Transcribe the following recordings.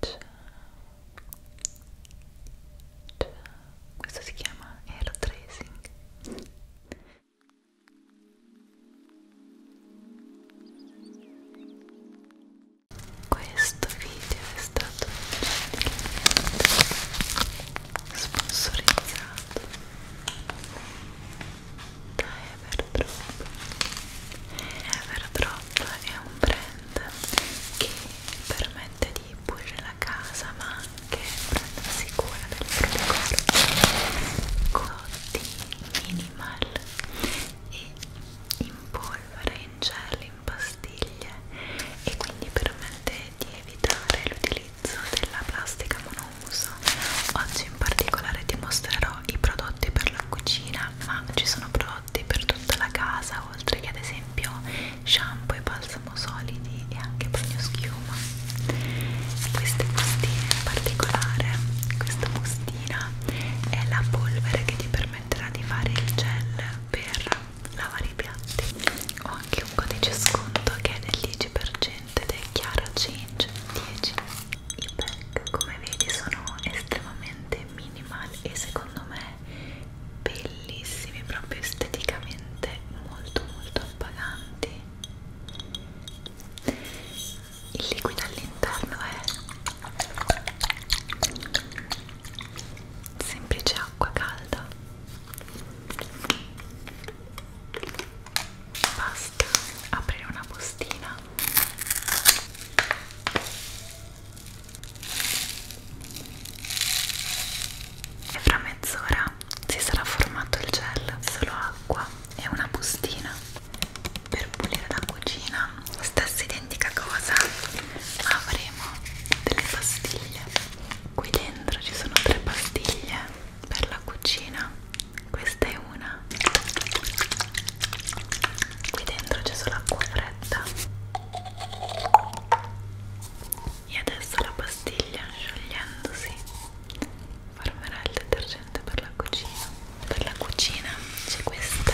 Ciao. Ciao. Questo si chiama air tracing. Questo video è stato sponsorizzato da Everdrop. Everdrop è un brand brand che permette di pulire la casa ma anche prendersi cura del proprio corpo Coty Minimal e in polvere, in gel, in pastiglie e quindi permette di evitare l'utilizzo della plastica monouso oggi in particolare ti mostrerò i prodotti per la cucina ma ci sono prodotti prodotti per tutta la casa oltre che ad esempio shampoo e balsamo solidi e anche bagnoschiuma queste bustine in particolare questa bustina è la polvere che ti permetterà di fare il gel per lavare i piatti ho anche un codice sconto che è del 10% ed è chiaro change 10 i pack come vedi sono estremamente minimal e secondo me bellissimi proprio esteticamente molto molto appaganti il liquido all'interno è semplice acqua calda basta aprire una postina e fra mezz'ora si sarà formato il gel solo acqua e una bustina per pulire la cucina stessa identica cosa avremo delle pastiglie qui dentro ci sono tre pastiglie per la cucina questa è una qui dentro c'è solo acqua fredda e adesso la pastiglia sciogliendosi formerà il detergente per la cucina per la cucina c'è questa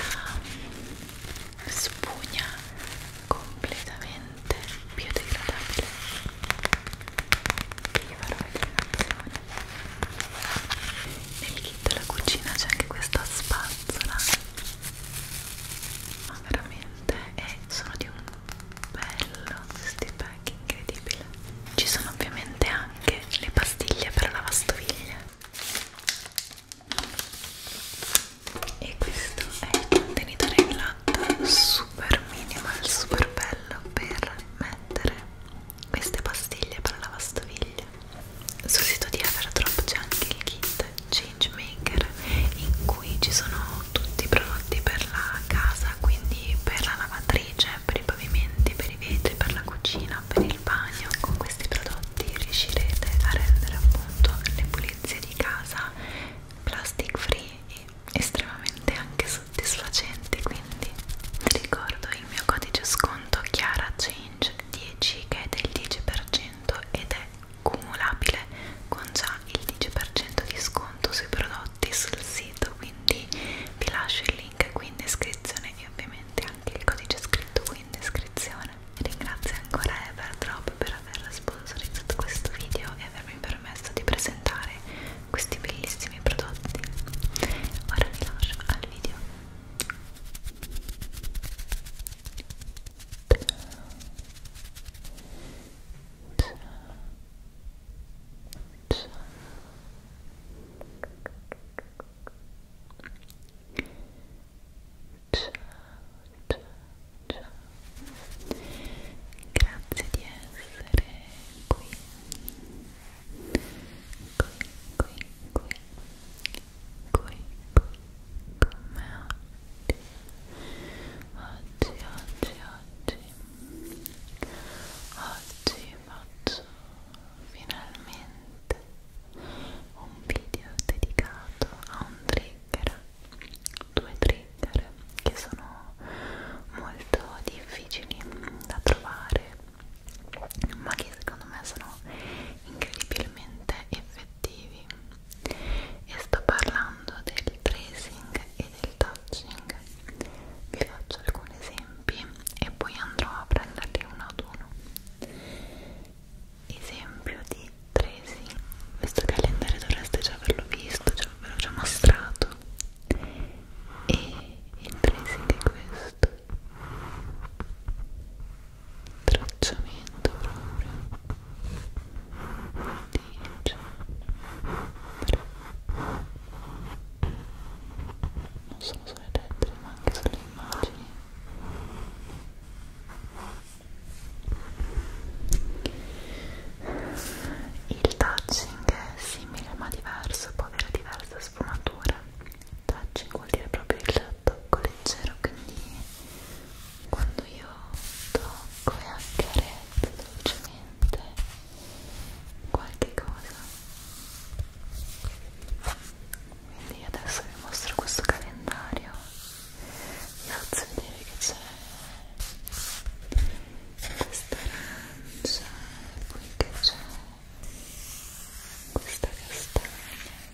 spugna completamente biodegradabile che vi farò vedere nel kit della cucina c'è anche questa spazzola ma veramente eh, sono di un bello questi pack incredibile ci sono ovviamente anche le pastiglie per lavastoviglie e questo è il contenitore in latta super minimal super bello per mettere queste pastiglie per lavastoviglie sul sito di Everdrop c'è anche il kit World Changemaker in cui ci sono tutti i prodotti per la casa, quindi per la lavatrice, per i pavimenti, per i vetri, per la cucina, per il bagno. Con questi prodotti riuscirete a rendere appunto le pulizie di casa plastic free e estremamente anche soddisfacenti. Quindi vi ricordo il mio codice sconto Chiara Change 10 che è del 10% ed è cumulabile con già il 10% di sconto sui prodotti sul sito quindi vi lascio il link qui in descrizione e ovviamente anche il codice scritto qui in descrizione ringrazio ancora Everdrop per aver sponsorizzato questo video e avermi permesso di presentare questi bellissimi prodotti ora vi lascio al video Grazie di essere qui qui qui qui qui con me oggi oggi oggi oggi oggi faccio finalmente un video dedicato a un trigger due trigger che sono molto difficili da trovare ma che secondo me sono incredibilmente effettivi effettivi e sto parlando del tracing e del touching vi faccio alcuni esempi e poi andrò a prenderli uno ad uno esempio di tracing questo calendario dovreste già averlo visto cioè ve l'ho già mostrato e il tracing è questo tracciamento proprio di non solo sulle lettere ma anche sulle immagini il touching è simile ma diverso può avere diverse sfumature touching vuol dire proprio il tocco leggero quindi quando io tocco e anche arezzo dolcemente qualche cosa quindi adesso vi mostro questo calendario vi faccio vedere che c'è questa arancia e poi che c'è questa castagna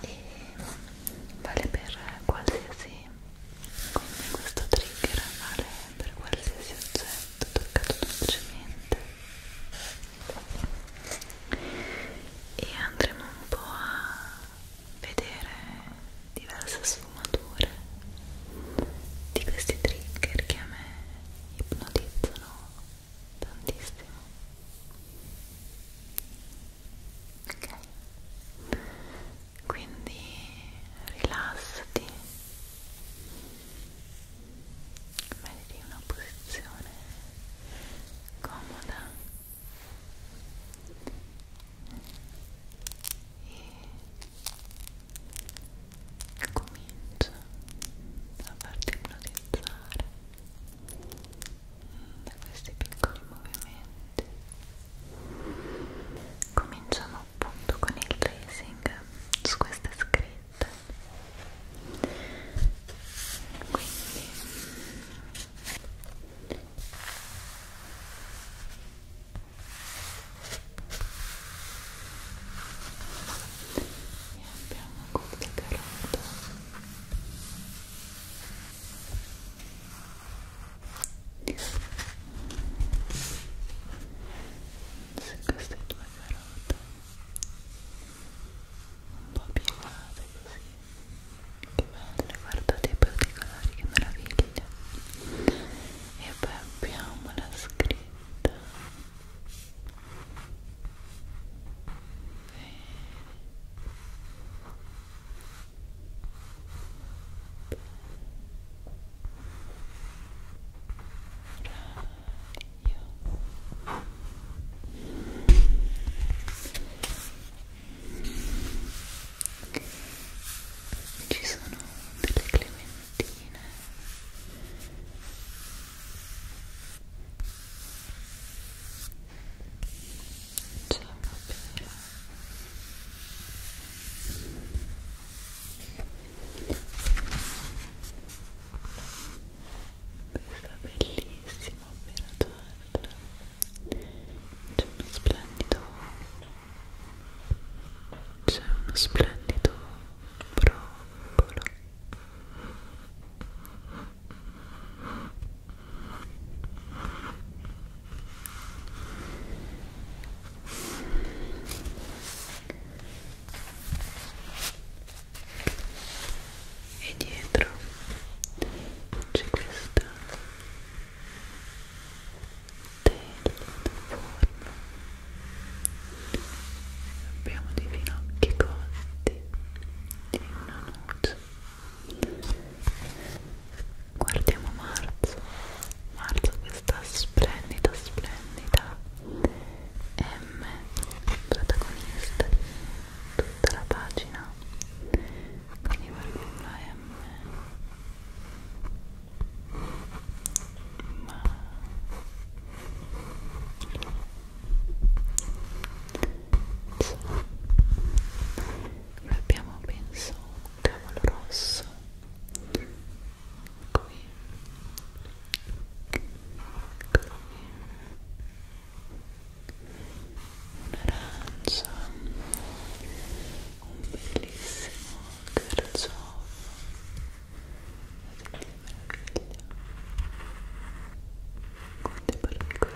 e vale per qualsiasi come questo trigger vale per qualsiasi oggetto toccato dolcemente e andremo un po' a vedere diverse sfumature di questi trigger che a me ipnotizzano tantissimo ok? Quindi rilassati, metti una posizione comoda e comincia a farti ipnotizzare da questi piccoli movimenti cominciamo appunto con il tracing su queste scritte quindi e abbiamo questa carota se queste due carote un po' piegate così che belle, guardate i particolari, che meraviglia e poi abbiamo la scritta ci sono delle clementine c'è una pera questa bellissima pera torta c'è uno splendido c'è uno splendido broccolo e dietro c'è questa tela forno abbiamo dei finocchi cotti e una noce guardiamo marzo marzo questa splendida splendida M protagonista di tutta la pagina quindi guardiamo la M ma noi abbiamo penso un cavolo rosso qui qui un arancio un bellissimo carciofo guardate che meraviglia quante particolarità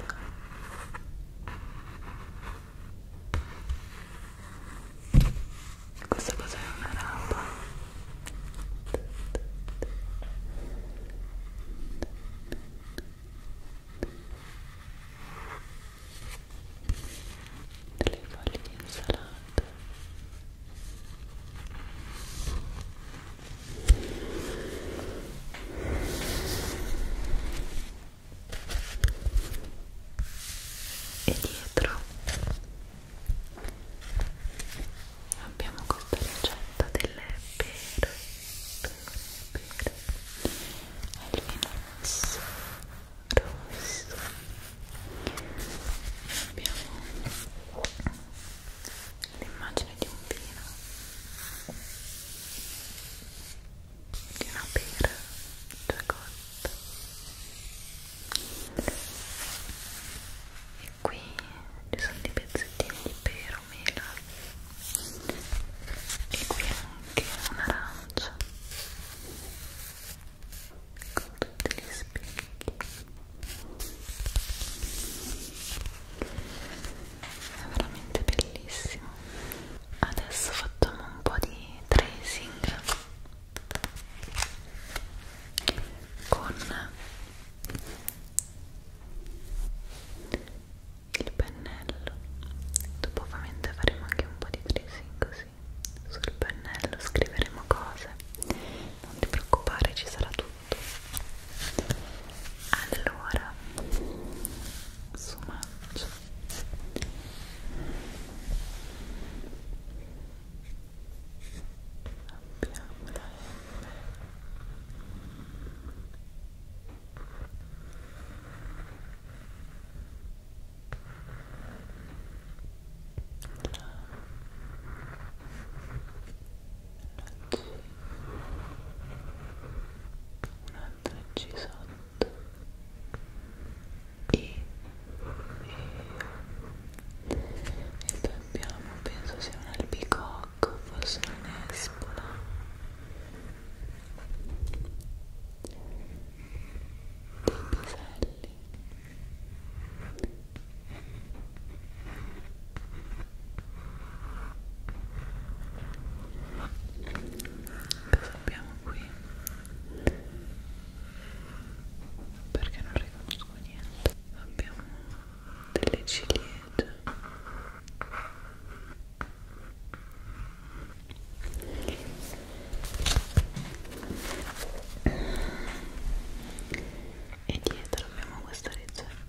questa cosa è una rampa. Delle foglie di insalata e dietro abbiamo questa ricetta delle pere pere pere al vino rosso abbiamo l'immagine di un vino di una pera già cotta e qui ci sono dei pezzettini di pero mela e qui anche un'arancia con tutti gli specchi è veramente bellissimo adesso facciamo un po' di tracing con il pennello dopo ovviamente faremo anche un po' di tracing così sul pennello scriveremo cose non ti preoccupare ci sarà tutto allora su mancia abbiamo la M la, la andarci sotto e, e, e poi abbiamo penso sia un albicocco forse un'espola dei piselli Cosa abbiamo qui? Perché non riconosco niente. Abbiamo delle ciliegie. E dietro abbiamo questa ricetta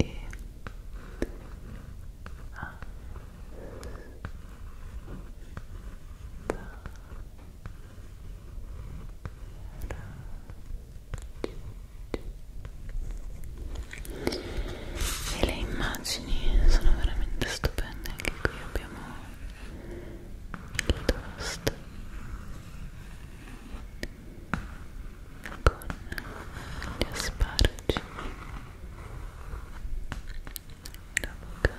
e ah. E le immagini sono veramente stupende, anche qui abbiamo il toast con gli asparagi l'avocado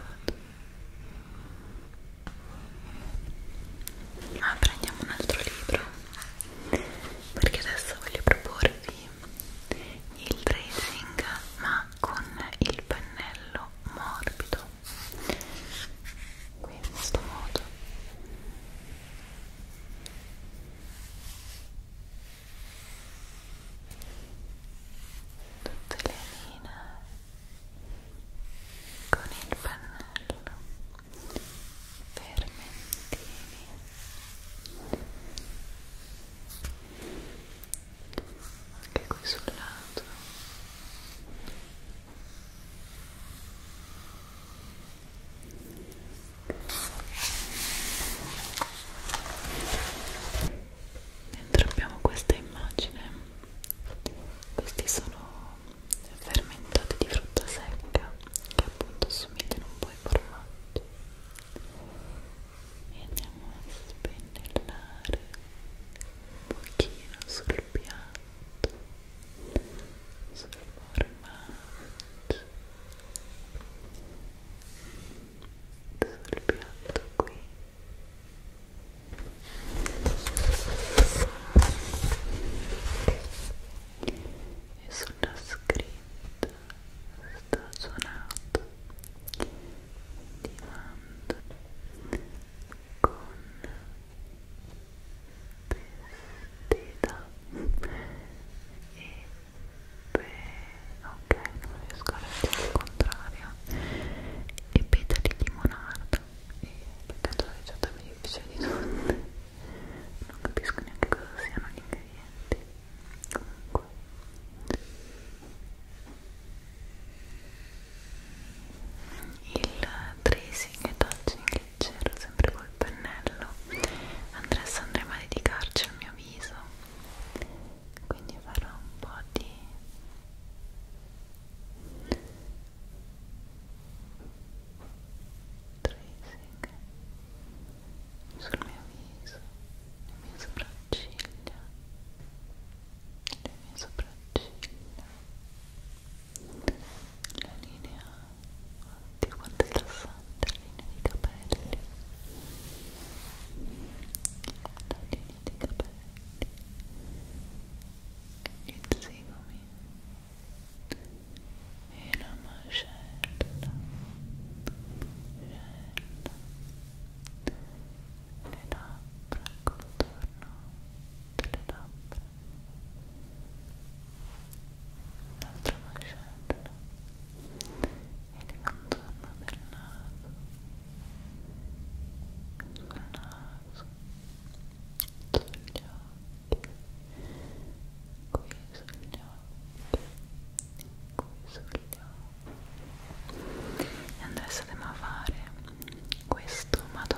ma ah, prendiamo un altro libro perché adesso voglio proporvi il tracing ma con il pennello morbido qui in questo modo tutte le linee con il pannello fermentini anche qui sul lato dentro abbiamo questa immagine questi sono fermentati di frutta secca che appunto somigliano un po' ai formaggi e andiamo a spennellare un pochino sul piatto sul formaggio sul piatto qui e sulla scritta stagionato di mando con teta e beh, ok, non riesco a leggere il contrario e peta di limonardo e peccato la ricetta più difficile di tutte non capisco neanche cosa siano gli ingredienti comunque il tracing e touching leggero, sempre col pennello adesso andremo a dedicarci al mio viso quindi farò un po' di tracing sul mio viso le mie sopracciglia le mie sopracciglia la linea Oddio quanto è rilassante la linea di capelli La linea di capelli Il zigomi E la mascella Mascella Le labbra contorno delle labbra un'altra mascella e il contorno del naso sul naso sugli occhi qui sugli occhi qui sugli occhi e adesso andiamo a fare questo ma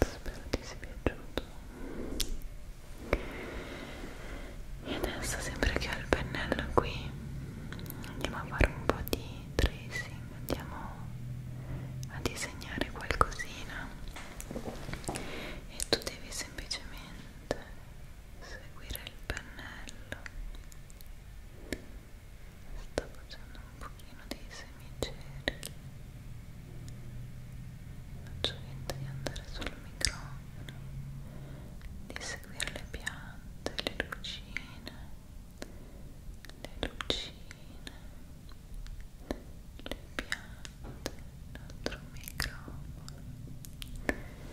spero ti sia piaciuto e adesso sempre che ho il pennello qui andiamo a fare un po' di tracing andiamo a disegnare qualcosina e tu devi semplicemente seguire il pennello sto facendo un pochino dei semicerchi faccio finta di andare sul microfono di seguire le piante, le lucine le lucine le piante l'altro microfono e adesso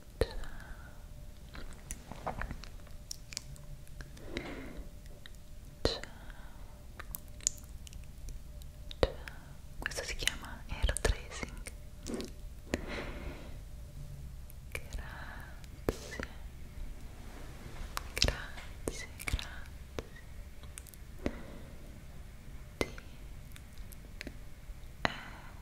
ciao ciao ciao questo si chiama air tracing grazie grazie grazie D E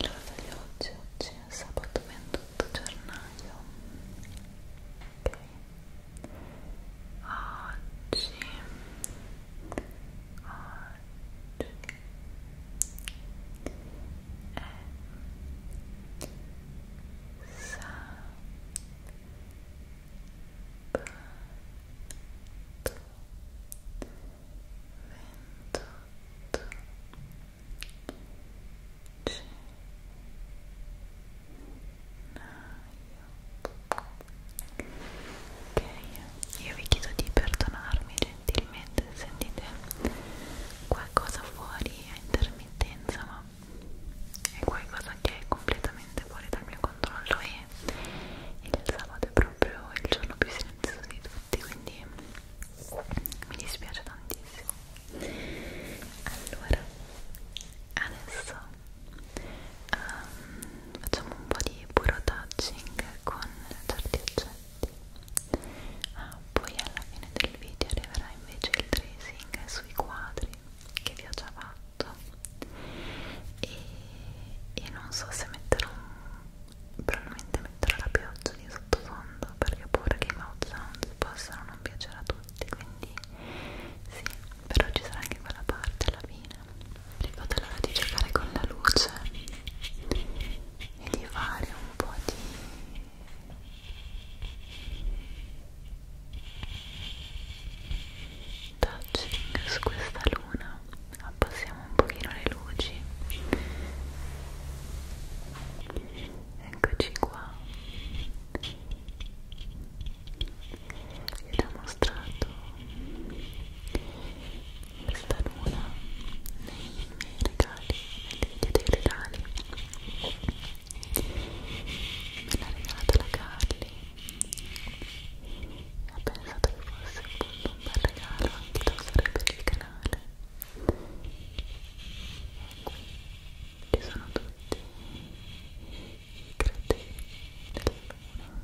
Allora di oggi, oggi è sabato 28 gennaio Ok Oggi Oggi È Sabato ventotto ok io vi chiedo di perdonarmi gentilmente se sentite qualcosa fuori a intermittenza ma è qualcosa che è completamente fuori dal mio controllo e il sabato è proprio il giorno più silenzioso di tutti tutti quindi mi dispiace tantissimo allora adesso um, facciamo un po' di puro touching con certi oggetti ah, poi alla fine del video arriverà invece il tracing sui quadri che vi ho già fatto e, e non so se metterò un probabilmente metterò la pioggia di sottofondo perché ho paura che i mouth sounds possano non piacere a tutti quindi sì, però ci sarà anche quella parte alla fine ricordo l'ora di giocare con la luce e di fare un po' di touching su questa luna abbassiamo un pochino le luci eccoci qua vi ho mostrato questa luna nei miei regali nel video dei regali me l'ha regalata la Carly e ho pensato che fosse appunto un bel regalo anche da usare per il canale e qui ci sono tutti i crateri della luna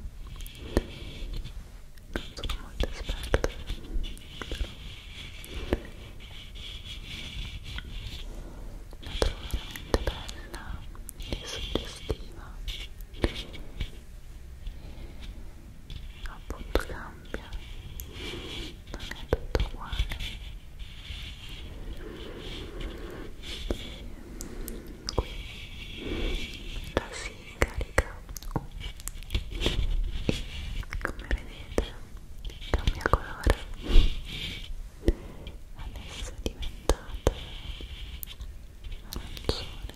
non sono molto esperta però la trovo veramente bella e suggestiva appunto cambia cambia non è tutto uguale qui la si carica U come vedete cambia colore adesso è diventata arancione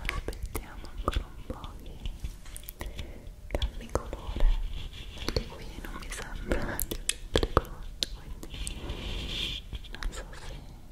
aspettiamo ancora un po' che cambi colore perché qui non mi sembra di avere colore quindi non so se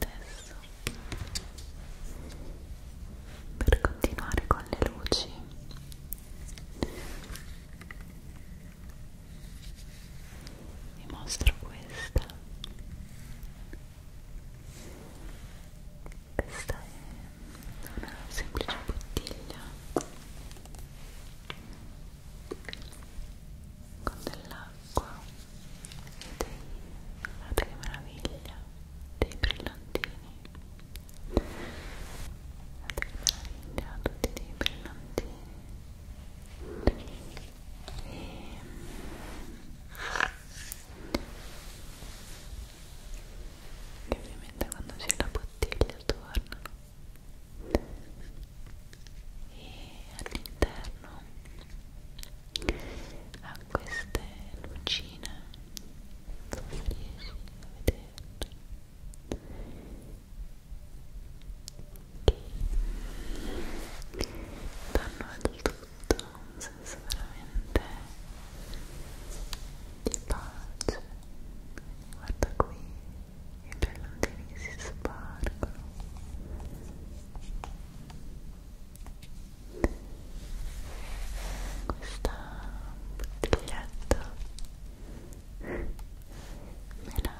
adesso per continuare con le luci vi mostro questa questa è una semplice bottiglia con dell'acqua guardate che meraviglia dei brillantini guardate che meraviglia tutti dei brillantini e... che ovviamente quando c'è la bottiglia tornano e all'interno ha queste lucine non so se riesci a vederle che danno al tutto un senso veramente di pace guarda qui i brillantini che si spargono questa bottiglietta me l'ha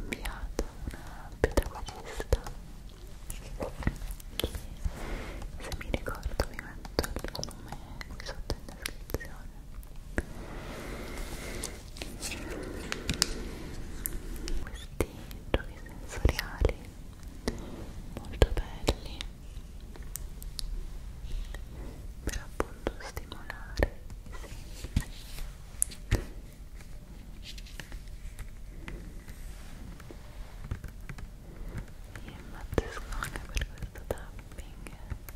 inviata una pedagogista che se mi ricordo vi metto il nome qui sotto in descrizione questi giochi sensoriali molto belli per appunto stimolare io impazzisco anche per questo tapping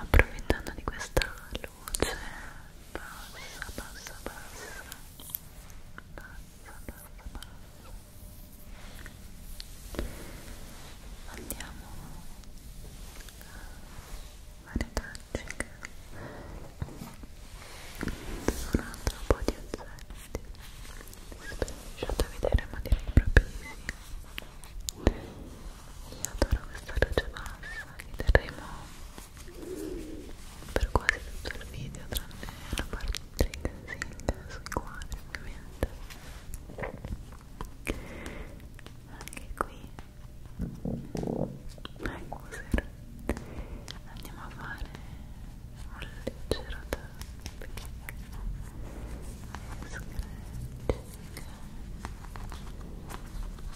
Approfittando di questa luce passa, passa, passa passa, passa, passa andiamo a fare touching su un altro po' di oggetti lasciate vedere ma direi proprio di sì io adoro questa luce bassa che terremo per quasi tutto il video tranne la parte trigger sui quadri ovviamente anche qui ecco sera andiamo a fare un leggero tapping scratching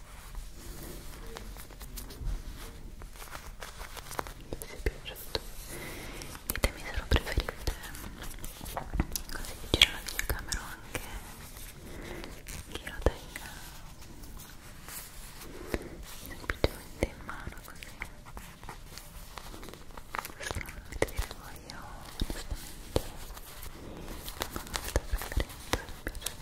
vi è piaciuto ditemi se lo preferite così giro la videocamera anche chi lo tenga semplicemente in mano così questo non lo vedete dire voi io onestamente non ho molta preferenza mi piace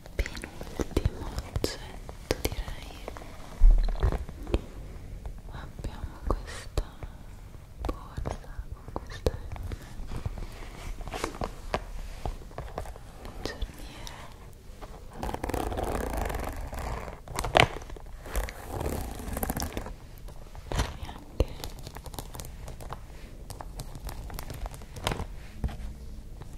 penultimo oggetto direi abbiamo questa borsa con questa M giorniere e anche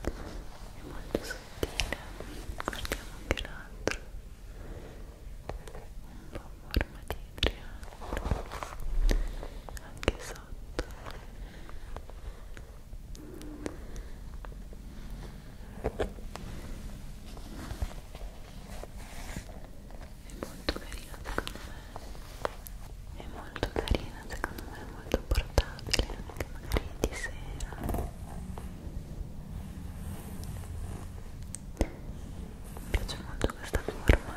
è molto sottile guardiamo anche l'altro un po' forma di triangolo anche sotto è molto carina secondo me è molto carina secondo me molto portabile anche magari di sera mi piace molto questa forma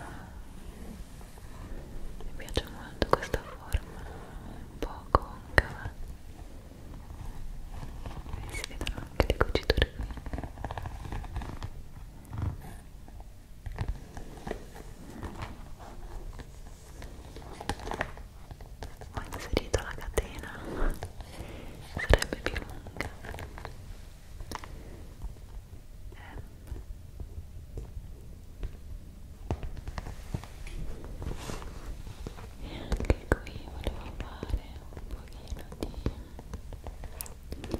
mi piace molto questa forma un po' concava e si vedono anche le cuciture qui ho inserito la catena sarebbe più lunga ehm. e anche qui volevo fare un pochino di light touching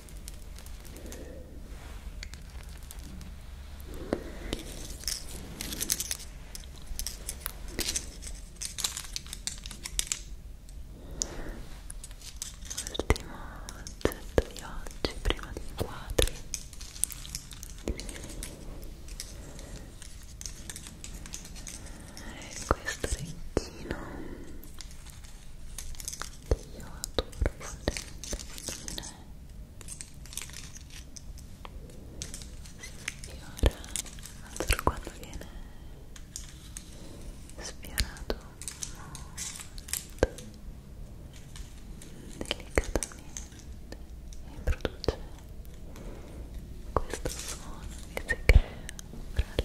Ultimo oggetto di oggi prima di inquadri e questo orecchino che io adoro fare le mattine e ora adoro quando viene sfiorato molto delicatamente e produce questo suono che si crea fra le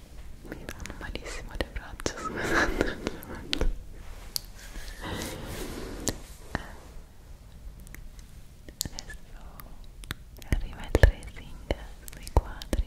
mi danno malissimo le braccia scusate eh, adesso arriva il tracing sui quadri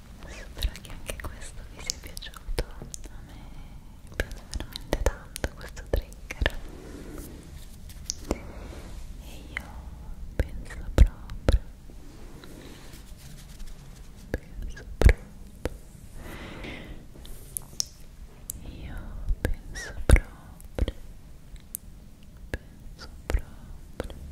spero che anche questo vi sia piaciuto a me piace veramente tanto questo trigger e io penso proprio penso proprio io penso proprio penso proprio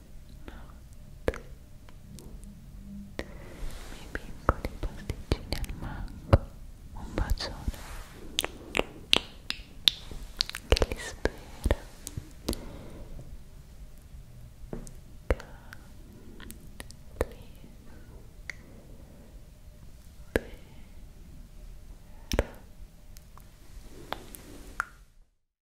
notte miei piccoli pasticcini al mango un bacione che li spera Carli